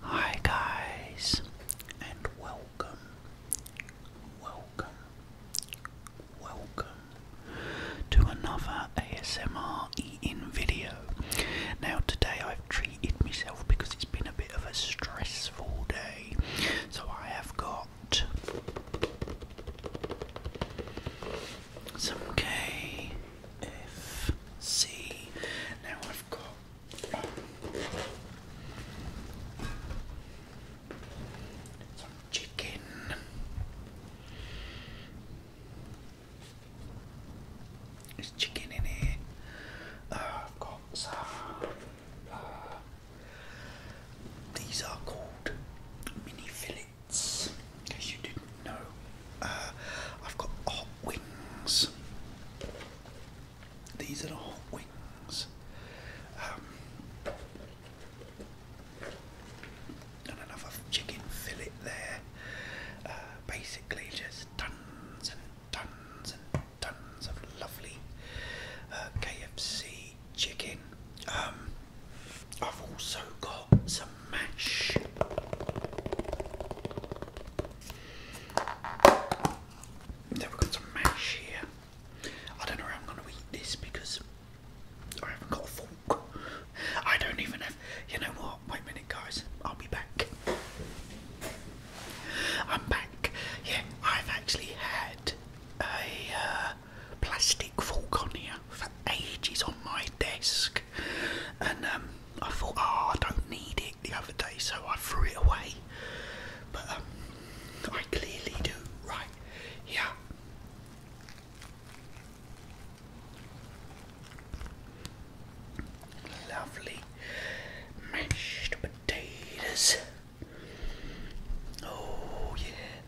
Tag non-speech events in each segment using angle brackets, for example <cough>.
Hi guys and welcome, welcome, welcome to another ASMR eating video. Now today I've treated myself because it's been a bit of a stressful day. So I have got some K FC. Now I've got. chicken. There's chicken in here. Uh, I've got some. Uh, these are called mini fillets. What's, you didn't know, uh, I've got hot wings. These are the hot wings. another um, chicken fillet there. Uh, basically, just tons and tons and tons of lovely uh, KFC chicken. Um, I've also got got some mash. Then we've got some mash here. I don't know how I'm going to eat this because I haven't got a fork. I don't even have. You know what? Wait a minute, guys. I'll be back. I'm back. Yeah, I've actually had a uh, plastic fork on here for ages on my desk and um, I thought, oh, I don't need it the other day, so I threw it away. But um, I clearly do, right? Yeah. Lovely mashed potatoes. Oh, yeah.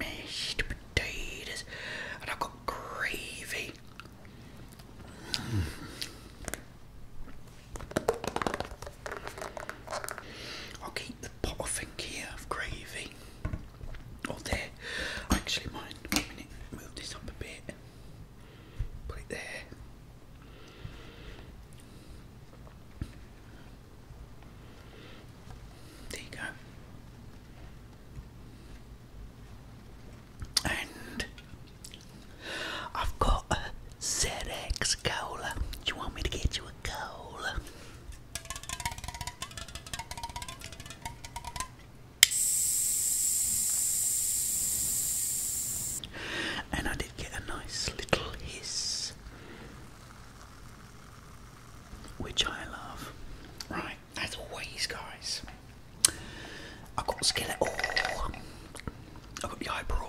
Mashed potatoes, and I've got gravy. i keep the pot, I think, here of gravy. Or there. Actually, mind. One minute. Move this up a bit. Put it there. There you go. And I've got a ZX cola. Do you want me to get you a cola? And I did get a nice little hiss which I love. Right, as always, guys, i got skillet. Oh, i got the eyebrow.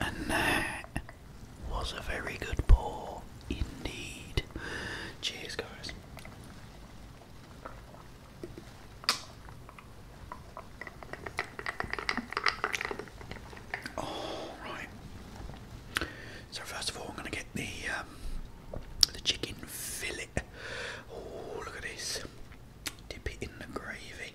And that was a very good pour indeed. Cheers, guys. Oh So first of all, I'm gonna get the um, the chicken fillet. Oh look at this! Dip it in the gravy.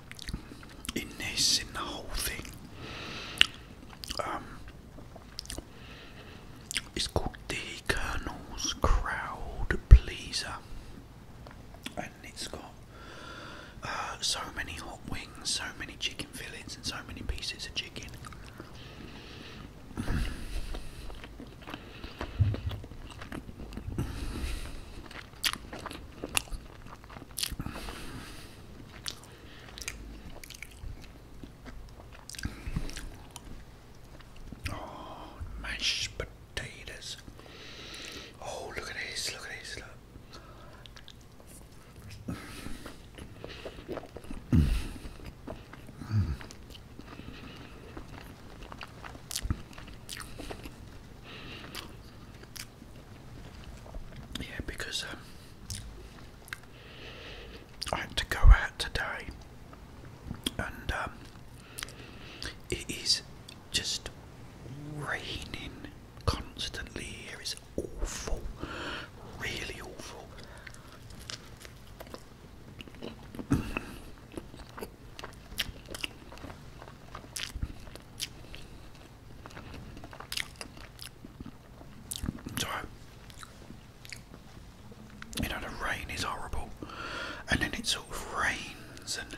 in this, in the whole thing. Um, it's called The Colonel's Crowd Pleaser, and it's got uh, so many hot wings, so many chicken fillings, and so many pieces of chicken. Oh, mashed potatoes. Oh, look at this, look at this, look. Mm. Mm. Yeah, because um, I had to go out today, and um, it is just raining constantly here. It's awful, really awful. You know, the rain is horrible, and then it sort of rains, and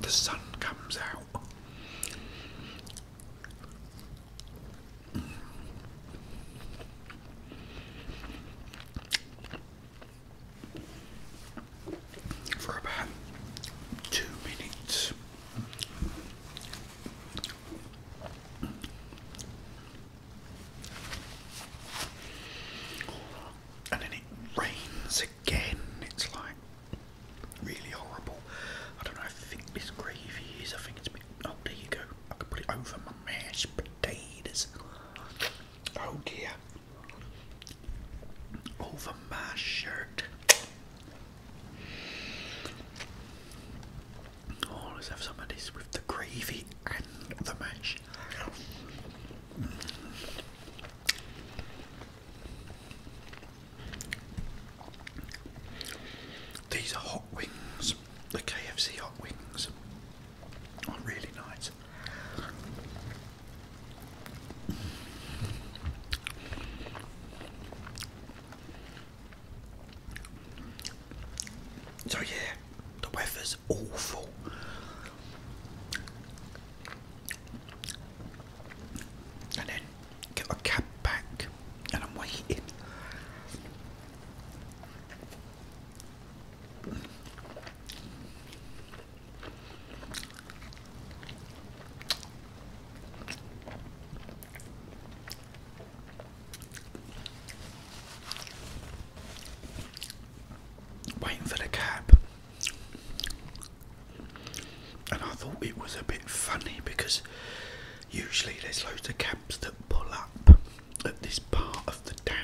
the sun comes out. For about two minutes, and then it rains again. It's like Really horrible. I don't know, I think this gravy is, I think it's a bit, oh there you go, I can put it over my mashed potatoes. Oh dear. Over my shirt. Oh, let's have some of this with the gravy and the mash. These are hot wings, the KFC hot wings are really nice. So, yeah, the weather's awful and then get a cab back, and I'm waiting waiting for the cab, and I thought it was a bit funny because usually there's loads of cabs that pull up at this part of the town.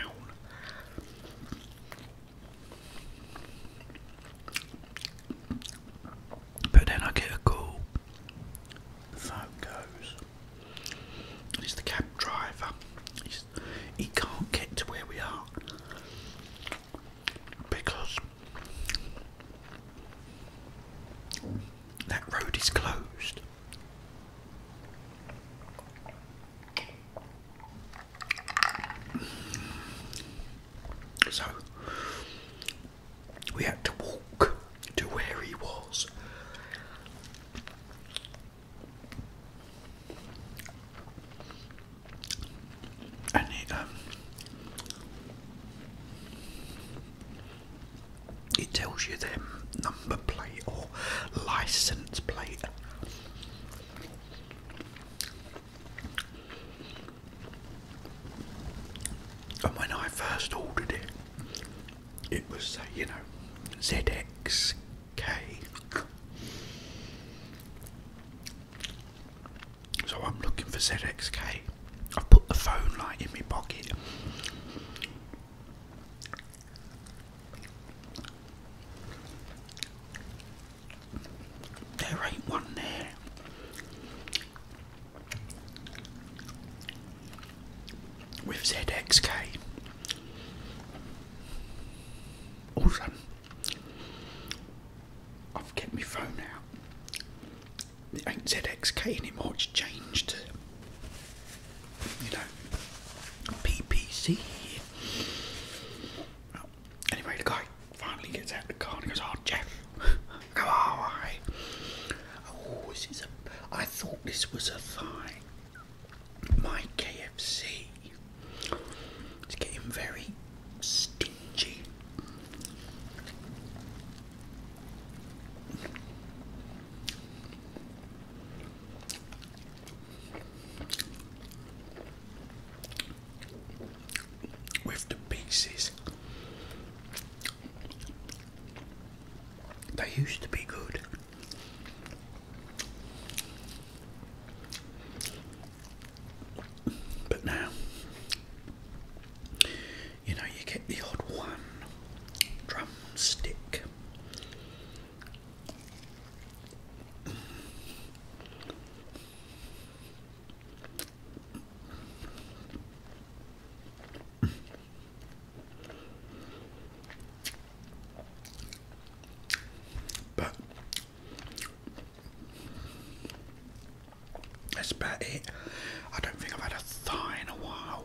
But then I get a call. The phone goes. it's the cab driver. He can't get to where we are because that road is closed. So we had to walk to where he was. I um, it tells you their number plate or license plate. And when I first ordered it, it was, uh, you know, ZX Okay. So I'm looking for ZXK. I've put the phone light in my pocket. There ain't one there. With ZXK, also, I've kept my phone out. It ain't ZXK anymore, it's changed to, you know, PPC. anyway, the guy finally gets out of the car and goes, Oh, Jeff, <laughs> go, oh, I. Oh, this is a. I thought this was a thigh my KFC is getting very stingy. With the pieces, they used to be good. But now, you know, you get the odd one drumstick. But that's about it. I don't think I've had a thigh in a while.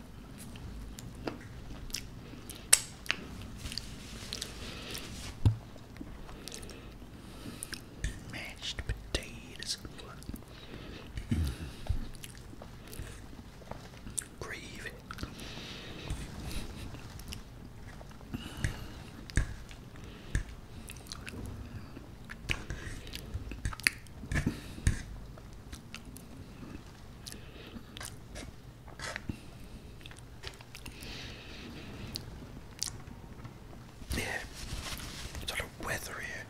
Mashed potatoes. Gravy. Yeah, sort of weather here.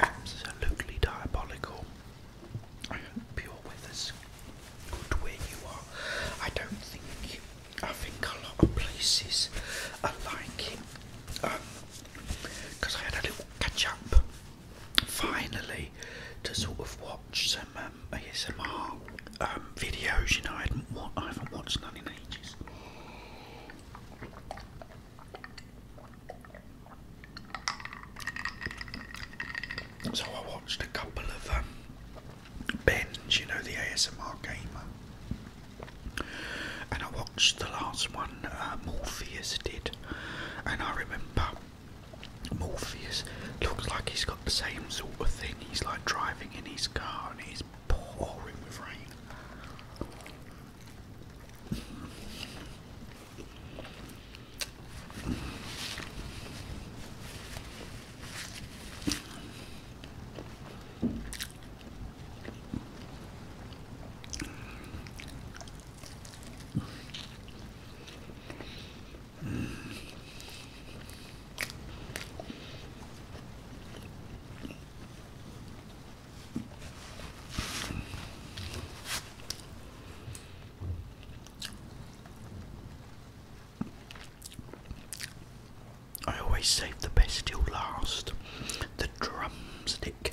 Absolutely diabolical. I hope your where you are. I don't think, I think a lot of places are like it. Um, I had a little catch up finally to sort of watch some um, ASMR um, videos. You know, I haven't, watched none in ages. So I watched a couple of um, Ben's, you know, the ASMR gamer, and I watched the last one uh, Morpheus did, and I remember Morpheus looks like he's got the same sort of thing. He's like driving in his car and he's pouring with rain. I always save the best till last. The drumstick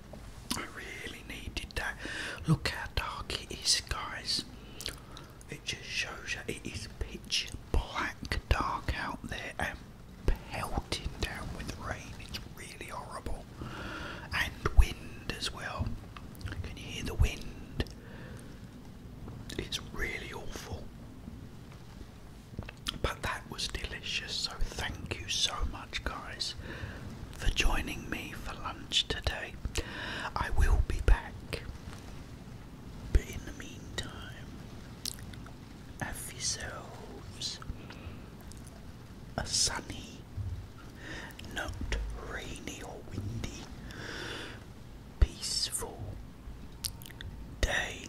I really needed that. Look how dark it is, guys. It just shows you it is pitch black dark out there and pelting down with rain. It's really horrible. And wind as well. Can you hear the wind? It's really awful. But they that was delicious. So, thank you so much, guys, for joining me for lunch today. I will be back, but in the meantime, have yourselves a sunny, not rainy or windy, peaceful day.